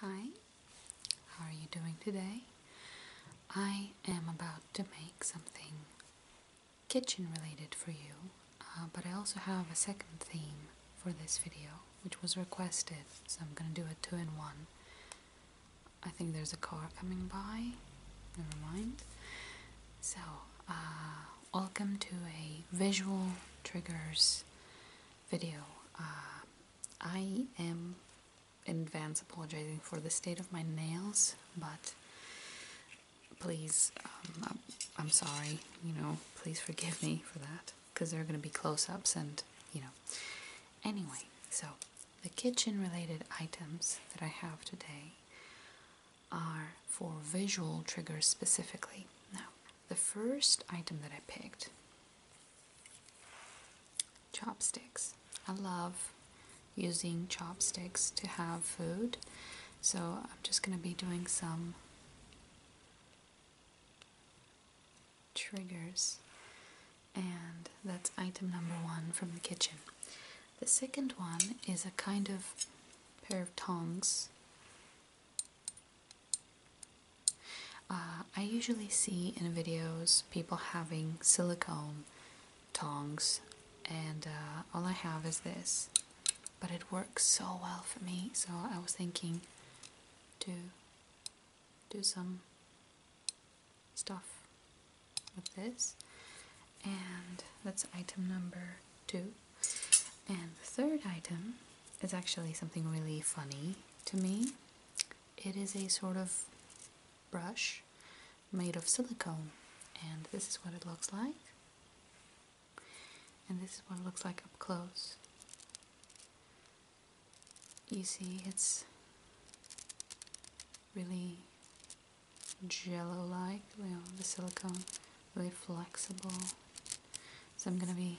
Hi, how are you doing today? I am about to make something kitchen related for you, uh, but I also have a second theme for this video, which was requested, so I'm gonna do a two in one. I think there's a car coming by, never mind. So, uh, welcome to a visual triggers video. Uh, I am in advance apologizing for the state of my nails, but please, um, I'm, I'm sorry, you know, please forgive me for that because there are going to be close ups and, you know. Anyway, so the kitchen related items that I have today are for visual triggers specifically. Now, the first item that I picked Chopsticks. I love using chopsticks to have food, so I'm just going to be doing some triggers, and that's item number one from the kitchen. The second one is a kind of pair of tongs uh, I usually see in videos people having silicone tongs and uh, all I have is this but it works so well for me so I was thinking to do some stuff with this and that's item number two and the third item is actually something really funny to me, it is a sort of brush made of silicone, and this is what it looks like. And this is what it looks like up close. You see, it's really jello like, the silicone, really flexible. So I'm gonna be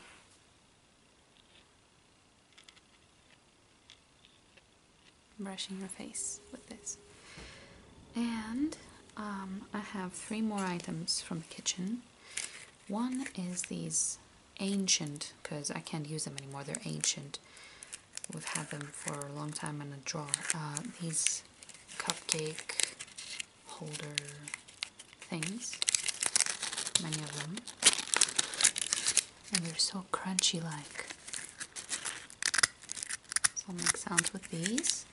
brushing your face with this. And um, I have three more items from the kitchen. One is these ancient, because I can't use them anymore, they're ancient. We've had them for a long time in a drawer. Uh, these cupcake holder things, many of them, and they're so crunchy like. I'll make sounds with these.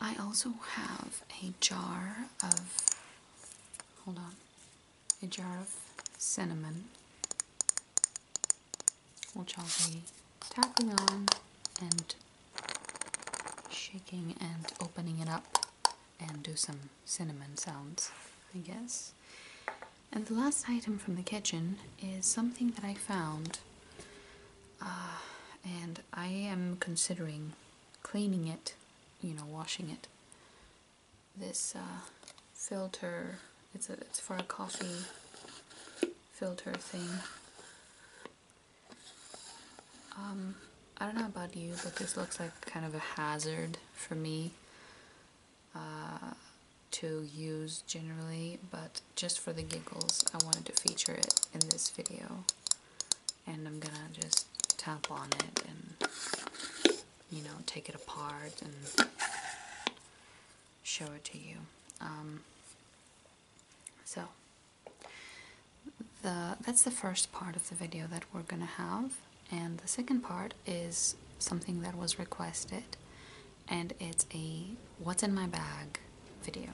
I also have a jar of, hold on, a jar of cinnamon, which I'll be tapping on and shaking and opening it up and do some cinnamon sounds, I guess. And the last item from the kitchen is something that I found, uh, and I am considering cleaning it, you know, washing it. This uh, filter, it's, it's for a coffee filter thing. Um, I don't know about you, but this looks like kind of a hazard for me uh, to use generally, but just for the giggles, I wanted to feature it in this video. And I'm gonna just tap on it and, you know, take it apart and show it to you. Um, so, the, that's the first part of the video that we're gonna have and the second part is something that was requested and it's a what's in my bag video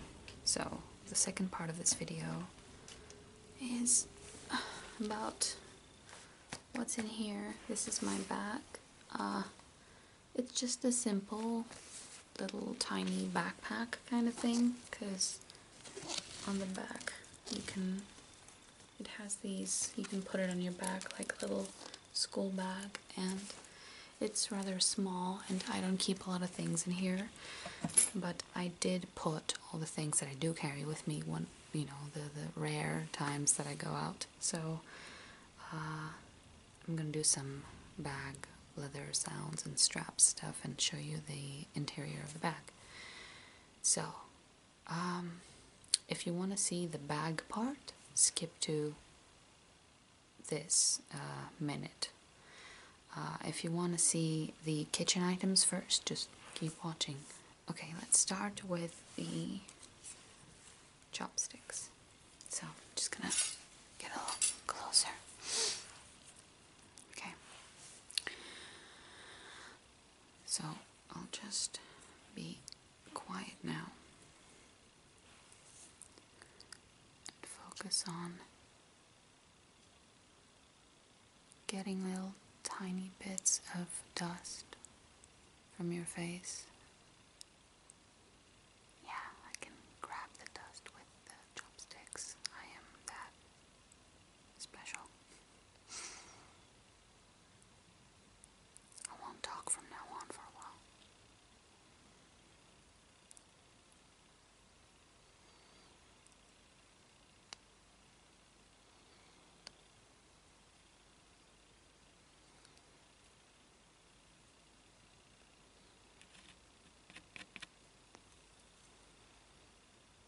so the second part of this video is about what's in here this is my bag uh, it's just a simple little tiny backpack kind of thing because on the back. You can, it has these, you can put it on your back like a little school bag and it's rather small and I don't keep a lot of things in here, but I did put all the things that I do carry with me when, you know, the, the rare times that I go out. So uh, I'm going to do some bag leather sounds and strap stuff and show you the interior of the bag. So, um, if you want to see the bag part, skip to this uh, minute. Uh, if you want to see the kitchen items first, just keep watching. Okay, let's start with the chopsticks. So, I'm just gonna get a little closer. Okay. So I'll just be quiet now and focus on getting little tiny bits of dust from your face. Yeah, I can grab the dust with the chopsticks. I am that special. I won't talk from now on for a while.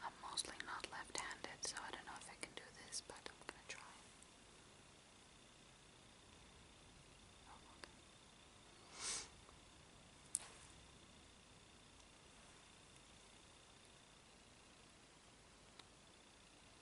I'm mostly not left-handed, so I don't know if I can do this, but I'm gonna try.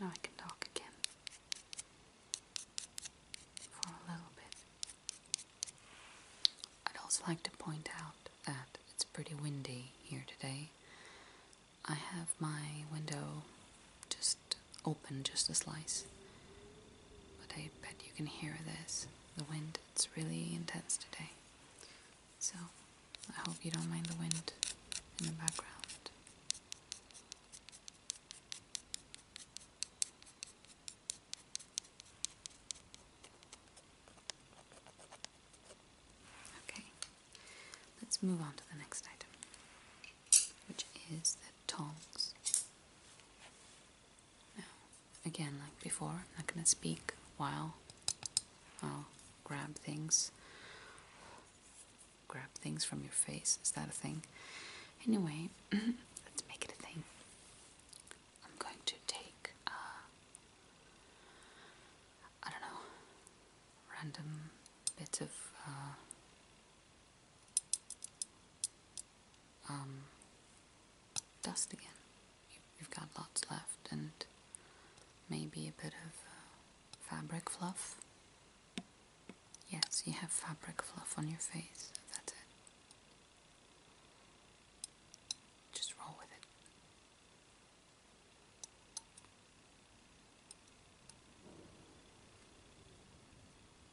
Now I can talk again for a little bit. I'd also like to point out that it's pretty windy here today. I have my window just open just a slice. But I bet you can hear this. The wind, it's really intense today. So I hope you don't mind the wind in the background. Okay, let's move on to the next item, which is the tongs again like before I'm not gonna speak while I'll grab things grab things from your face is that a thing anyway let's make it a thing I'm going to take uh, I don't know random bits of uh, um, dust again. You've got lots left, and maybe a bit of uh, fabric fluff. Yes, you have fabric fluff on your face. That's it. Just roll with it.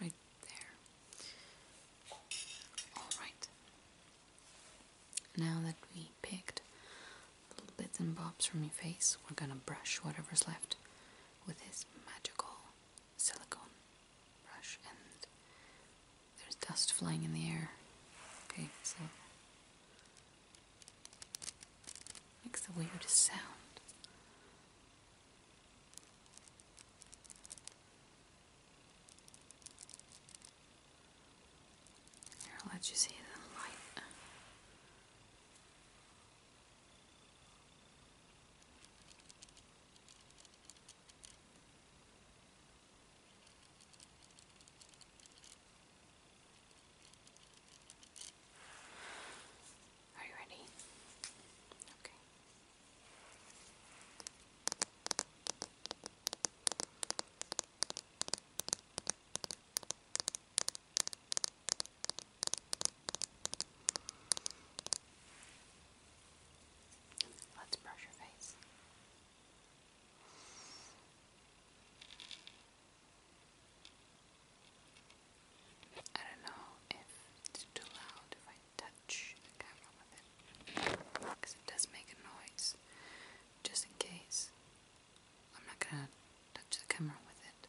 Right there. Alright. Now that we picked little bits and bobs from your face, we're gonna brush whatever's left with this magical silicone brush. And there's dust flying in the air. Okay, so Makes the weirdest sound. Here, I'll let you see the light. Are you ready? Okay. Let's brush your face. I don't know if it's too loud if touch the camera with it because it does make a noise just in case I'm not gonna touch the camera with it.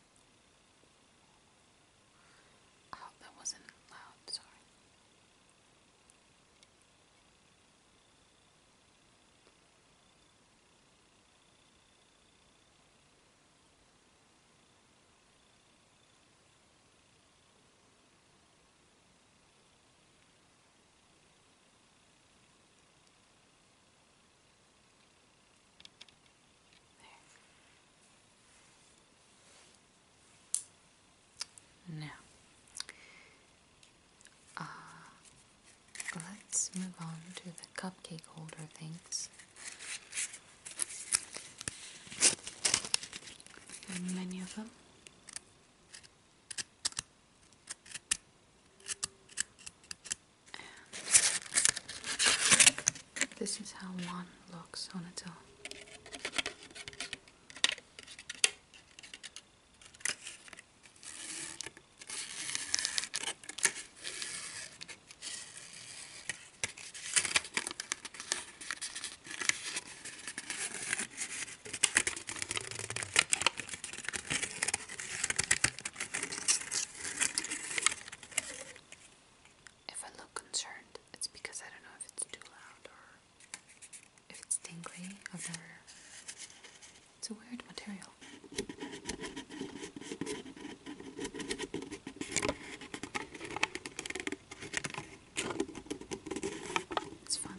Oh, that wasn't loud, sorry. Now, uh, let's move on to the cupcake holder things. many of them. This is how one looks on its own. If I look concerned, it's because I don't know if it's too loud or if it's tingly. It's a weird material. It's fun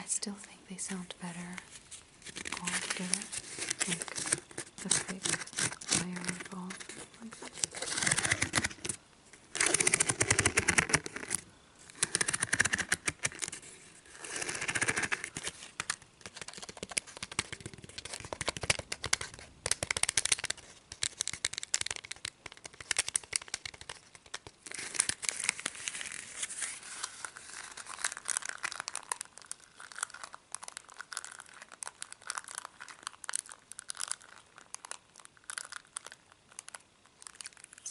I still think they sound better all together, like the thick layer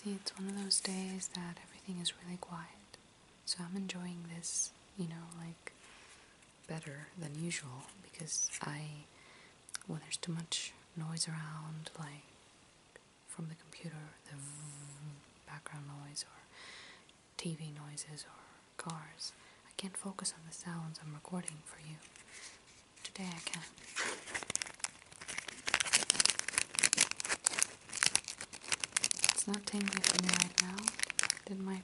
See, it's one of those days that everything is really quiet. So I'm enjoying this, you know, like better than usual because I, when there's too much noise around, like from the computer, the background noise or TV noises or cars, I can't focus on the sounds I'm recording for you. Today I can. It's not tingly for me right now, Did my might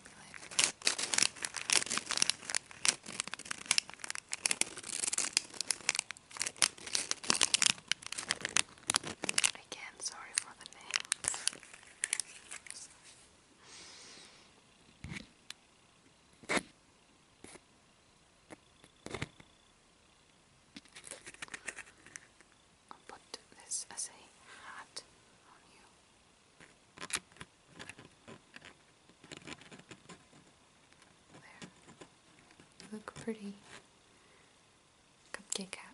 sorry for the name. I'll put this as a hat on you. There. You look pretty. Cupcake hat.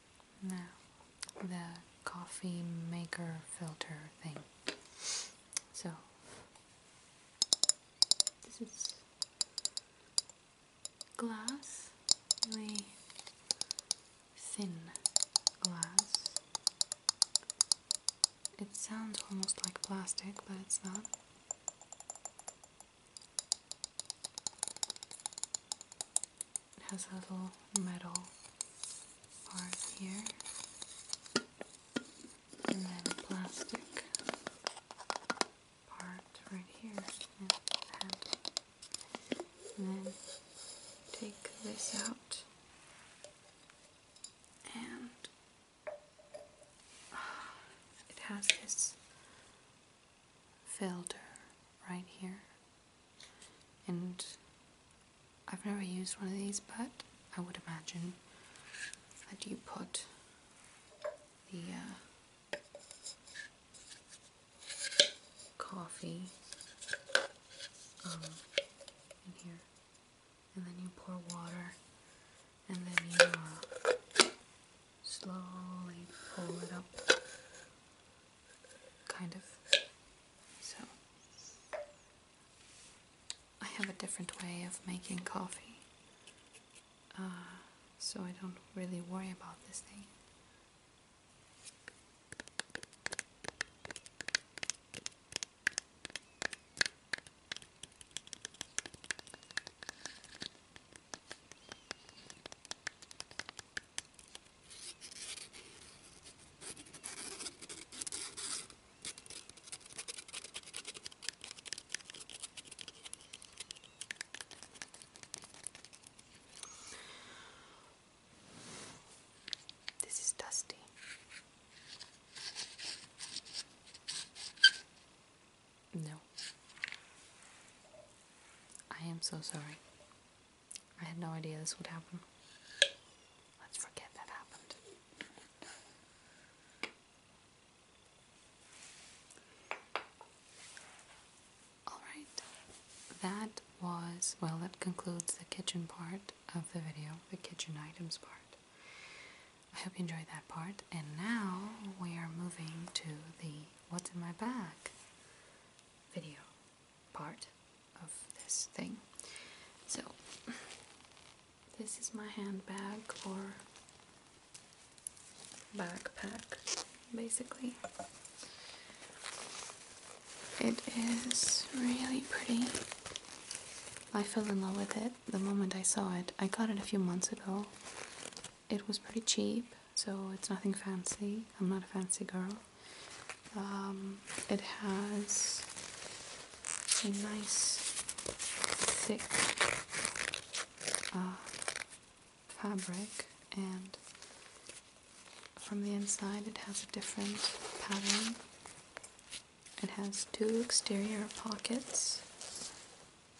No, the coffee maker filter thing. So, this is glass, really thin glass. It sounds almost like plastic, but it's not. It has a little metal part here, and then a plastic part right here. and then take this out and it has this filter right here and I've never used one of these but I would imagine that you put the uh, coffee um, in here and then you pour water and then you uh, slowly pull it up kind of. So, I have a different way of making coffee, uh, so I don't really worry about this thing. This is dusty. No. I am so sorry. I had no idea this would happen. Let's forget that happened. Alright, that was, well, that concludes the kitchen part of the video, the kitchen items part. I hope you enjoyed that part, and now we are moving to the what's in my bag video part of this thing. So, this is my handbag or backpack basically. It is really pretty. I fell in love with it the moment I saw it. I got it a few months ago. It was pretty cheap so it's nothing fancy. I'm not a fancy girl. Um, it has a nice, thick uh, fabric, and from the inside, it has a different pattern. It has two exterior pockets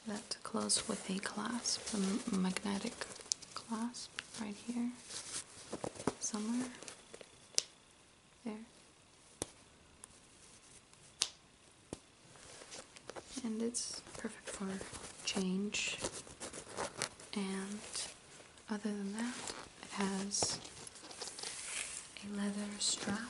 that close with a clasp, a magnetic clasp right here, somewhere. There. And it's perfect for change. And other than that, it has a leather strap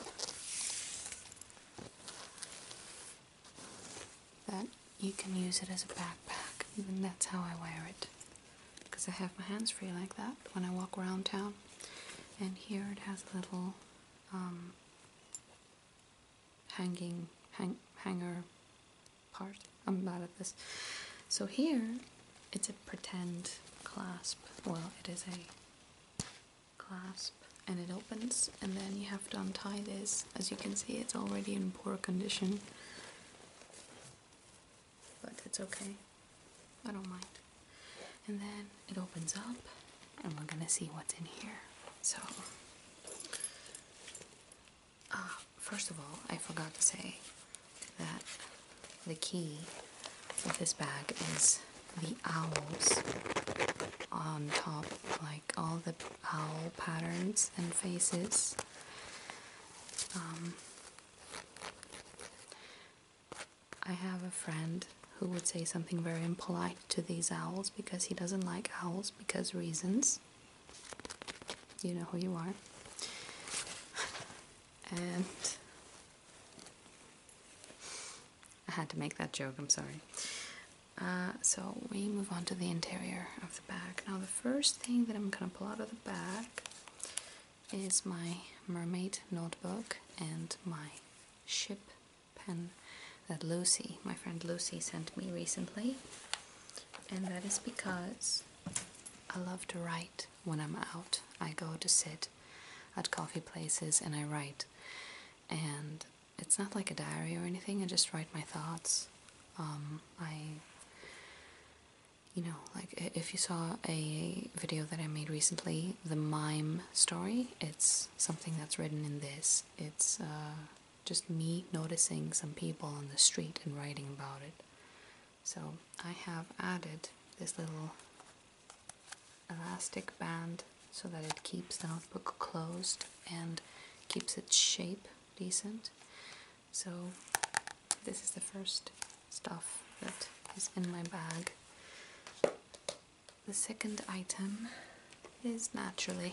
that you can use it as a backpack, and that's how I wear it. Because I have my hands free like that when I walk around town. And here it has a little um, hanging hanger part. I'm bad at this. So here, it's a pretend clasp. Well, it is a clasp, and it opens, and then you have to untie this. As you can see, it's already in poor condition. But it's okay. I don't mind. And then it opens up, and we're gonna see what's in here. So, uh, first of all, I forgot to say that the key of this bag is the owls on top, like all the owl patterns and faces um, I have a friend who would say something very impolite to these owls because he doesn't like owls because reasons. You know who you are. And I had to make that joke, I'm sorry. Uh, so we move on to the interior of now the first thing that I'm gonna pull out of the bag is my mermaid notebook and my ship pen that Lucy, my friend Lucy, sent me recently. And that is because I love to write when I'm out. I go to sit at coffee places and I write. And it's not like a diary or anything, I just write my thoughts um, I, you know, like if you saw a video that I made recently, the mime story, it's something that's written in this. It's uh, just me noticing some people on the street and writing about it. So I have added this little elastic band so that it keeps the notebook closed and keeps its shape decent. So, this is the first stuff that is in my bag. The second item is naturally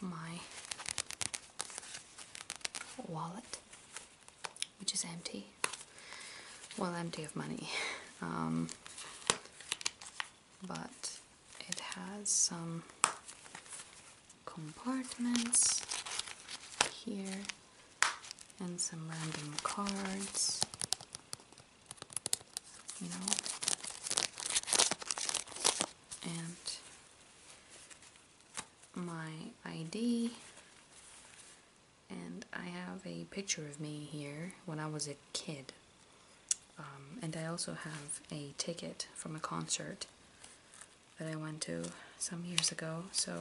my wallet, which is empty. Well, empty of money. Um, but it has some compartments here and some random cards you know and my ID and I have a picture of me here when I was a kid um, and I also have a ticket from a concert that I went to some years ago, so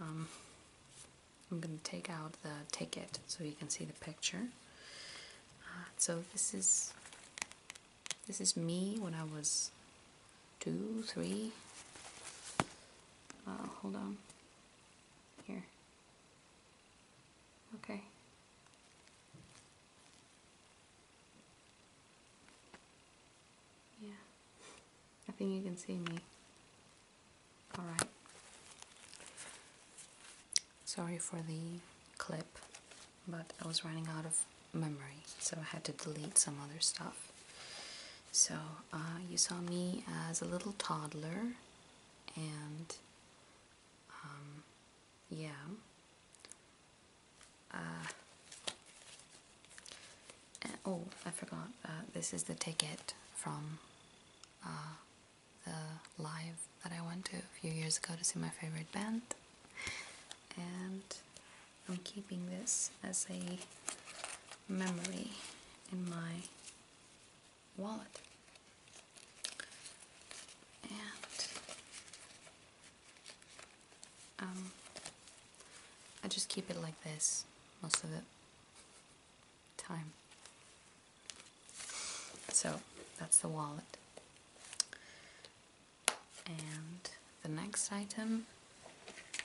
um, I'm going to take out the ticket so you can see the picture. Uh, so this is this is me when I was two, three. Uh, hold on. Here. Okay. Yeah. I think you can see me. Alright. Sorry for the clip, but I was running out of memory, so I had to delete some other stuff. So, uh, you saw me as a little toddler and um, yeah. Uh, oh, I forgot. Uh, this is the ticket from uh, the live that I went to a few years ago to see my favorite band. And I'm keeping this as a memory in my wallet. And um, I just keep it like this most of the time. So that's the wallet. And the next item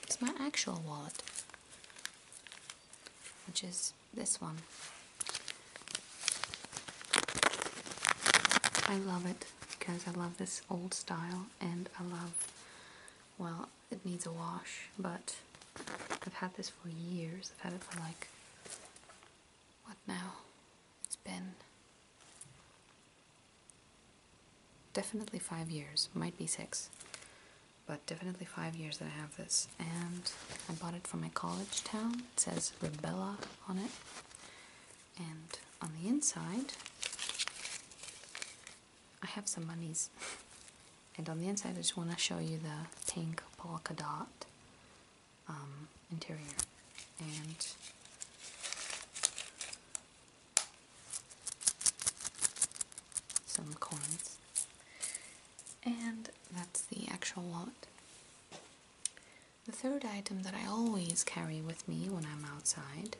is my actual wallet, which is this one. I love it because I love this old style and I love, well, it needs a wash, but I've had this for years. I've had it for like, what now? It's been definitely five years, might be six, but definitely five years that I have this. And I bought it from my college town. It says Rebella on it and on the inside I have some monies and on the inside I just want to show you the pink polka dot um, interior and some coins and that's the actual lot. The third item that I always carry with me when I'm outside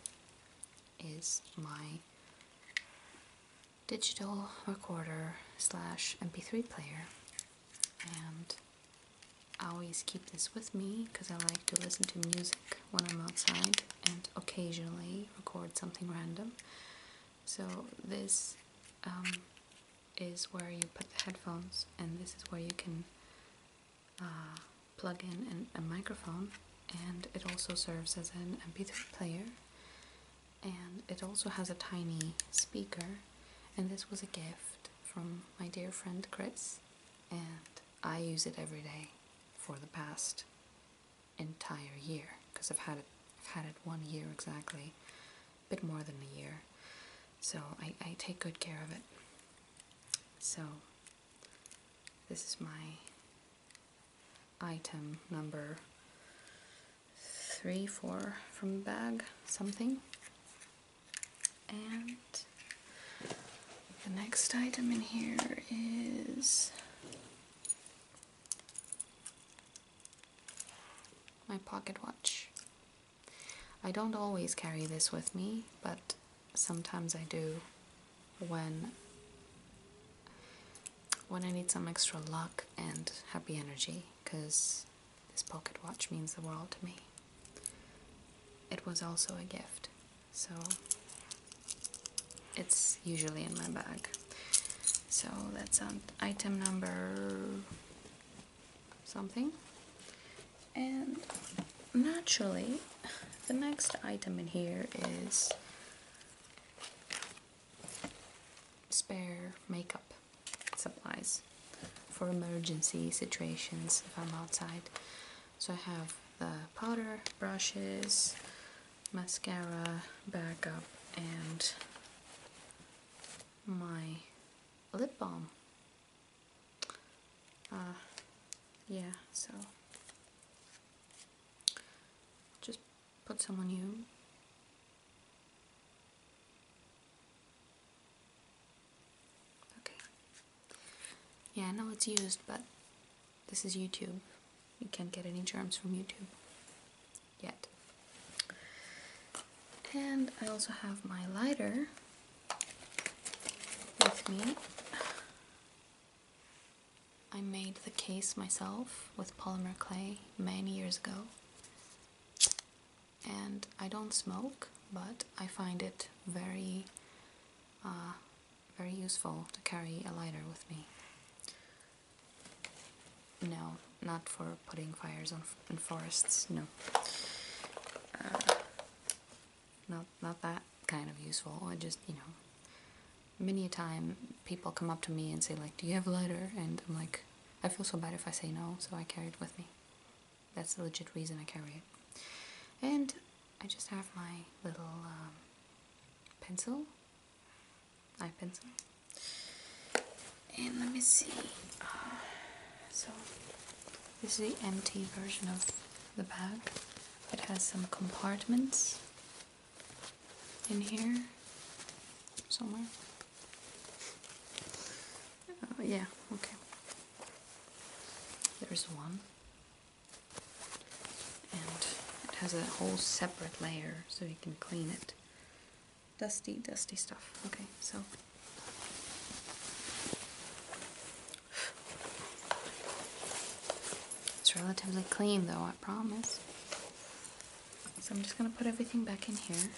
is my digital recorder slash mp3 player and I always keep this with me because I like to listen to music when I'm outside and occasionally record something random. So this um, is where you put the headphones and this is where you can uh, plug in an, a microphone, and it also serves as an MP3 player. And it also has a tiny speaker, and this was a gift from my dear friend Chris, and I use it every day for the past entire year because I've had it I've had it one year exactly, a bit more than a year. So I, I take good care of it. So this is my item number three, four from bag, something. And the next item in here is my pocket watch. I don't always carry this with me, but sometimes I do when when I need some extra luck and happy energy because this pocket watch means the world to me. It was also a gift, so it's usually in my bag. So that's on item number something. And naturally, the next item in here is spare makeup supplies for emergency situations if I'm outside. So I have the powder, brushes, mascara, backup, and my lip balm uh, yeah, so just put some on you. Okay. Yeah, I know it's used, but this is YouTube. You can't get any germs from YouTube yet. And I also have my lighter with me. I made the case myself with polymer clay many years ago. And I don't smoke, but I find it very, uh, very useful to carry a lighter with me. No, not for putting fires on in forests, no. Uh, not, not that kind of useful. I just, you know, many a time people come up to me and say, like, do you have a lighter? And I'm like, I feel so bad if I say no, so I carry it with me. That's the legit reason I carry it. And I just have my little um, pencil, eye pencil. And let me see. Uh, so this is the empty version of the bag. It has some compartments in here somewhere. Oh, yeah, okay. There's one. And it has a whole separate layer so you can clean it. Dusty, dusty stuff. Okay, so it's relatively clean though, I promise. So I'm just gonna put everything back in here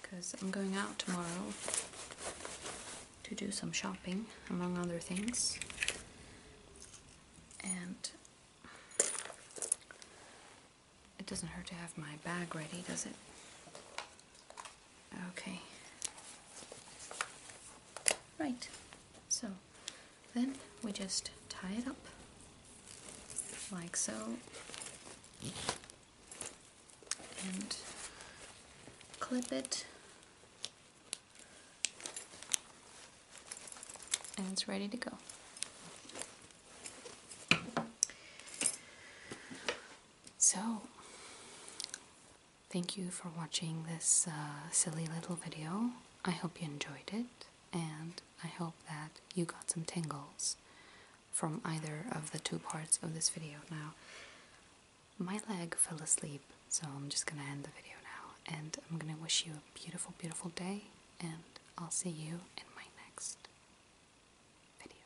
because I'm going out tomorrow to do some shopping, among other things. And it doesn't hurt to have my bag ready, does it? Okay. Right. So then we just tie it up like so and clip it and it's ready to go. So Thank you for watching this uh, silly little video. I hope you enjoyed it, and I hope that you got some tingles from either of the two parts of this video. Now, my leg fell asleep, so I'm just gonna end the video now, and I'm gonna wish you a beautiful, beautiful day, and I'll see you in my next video.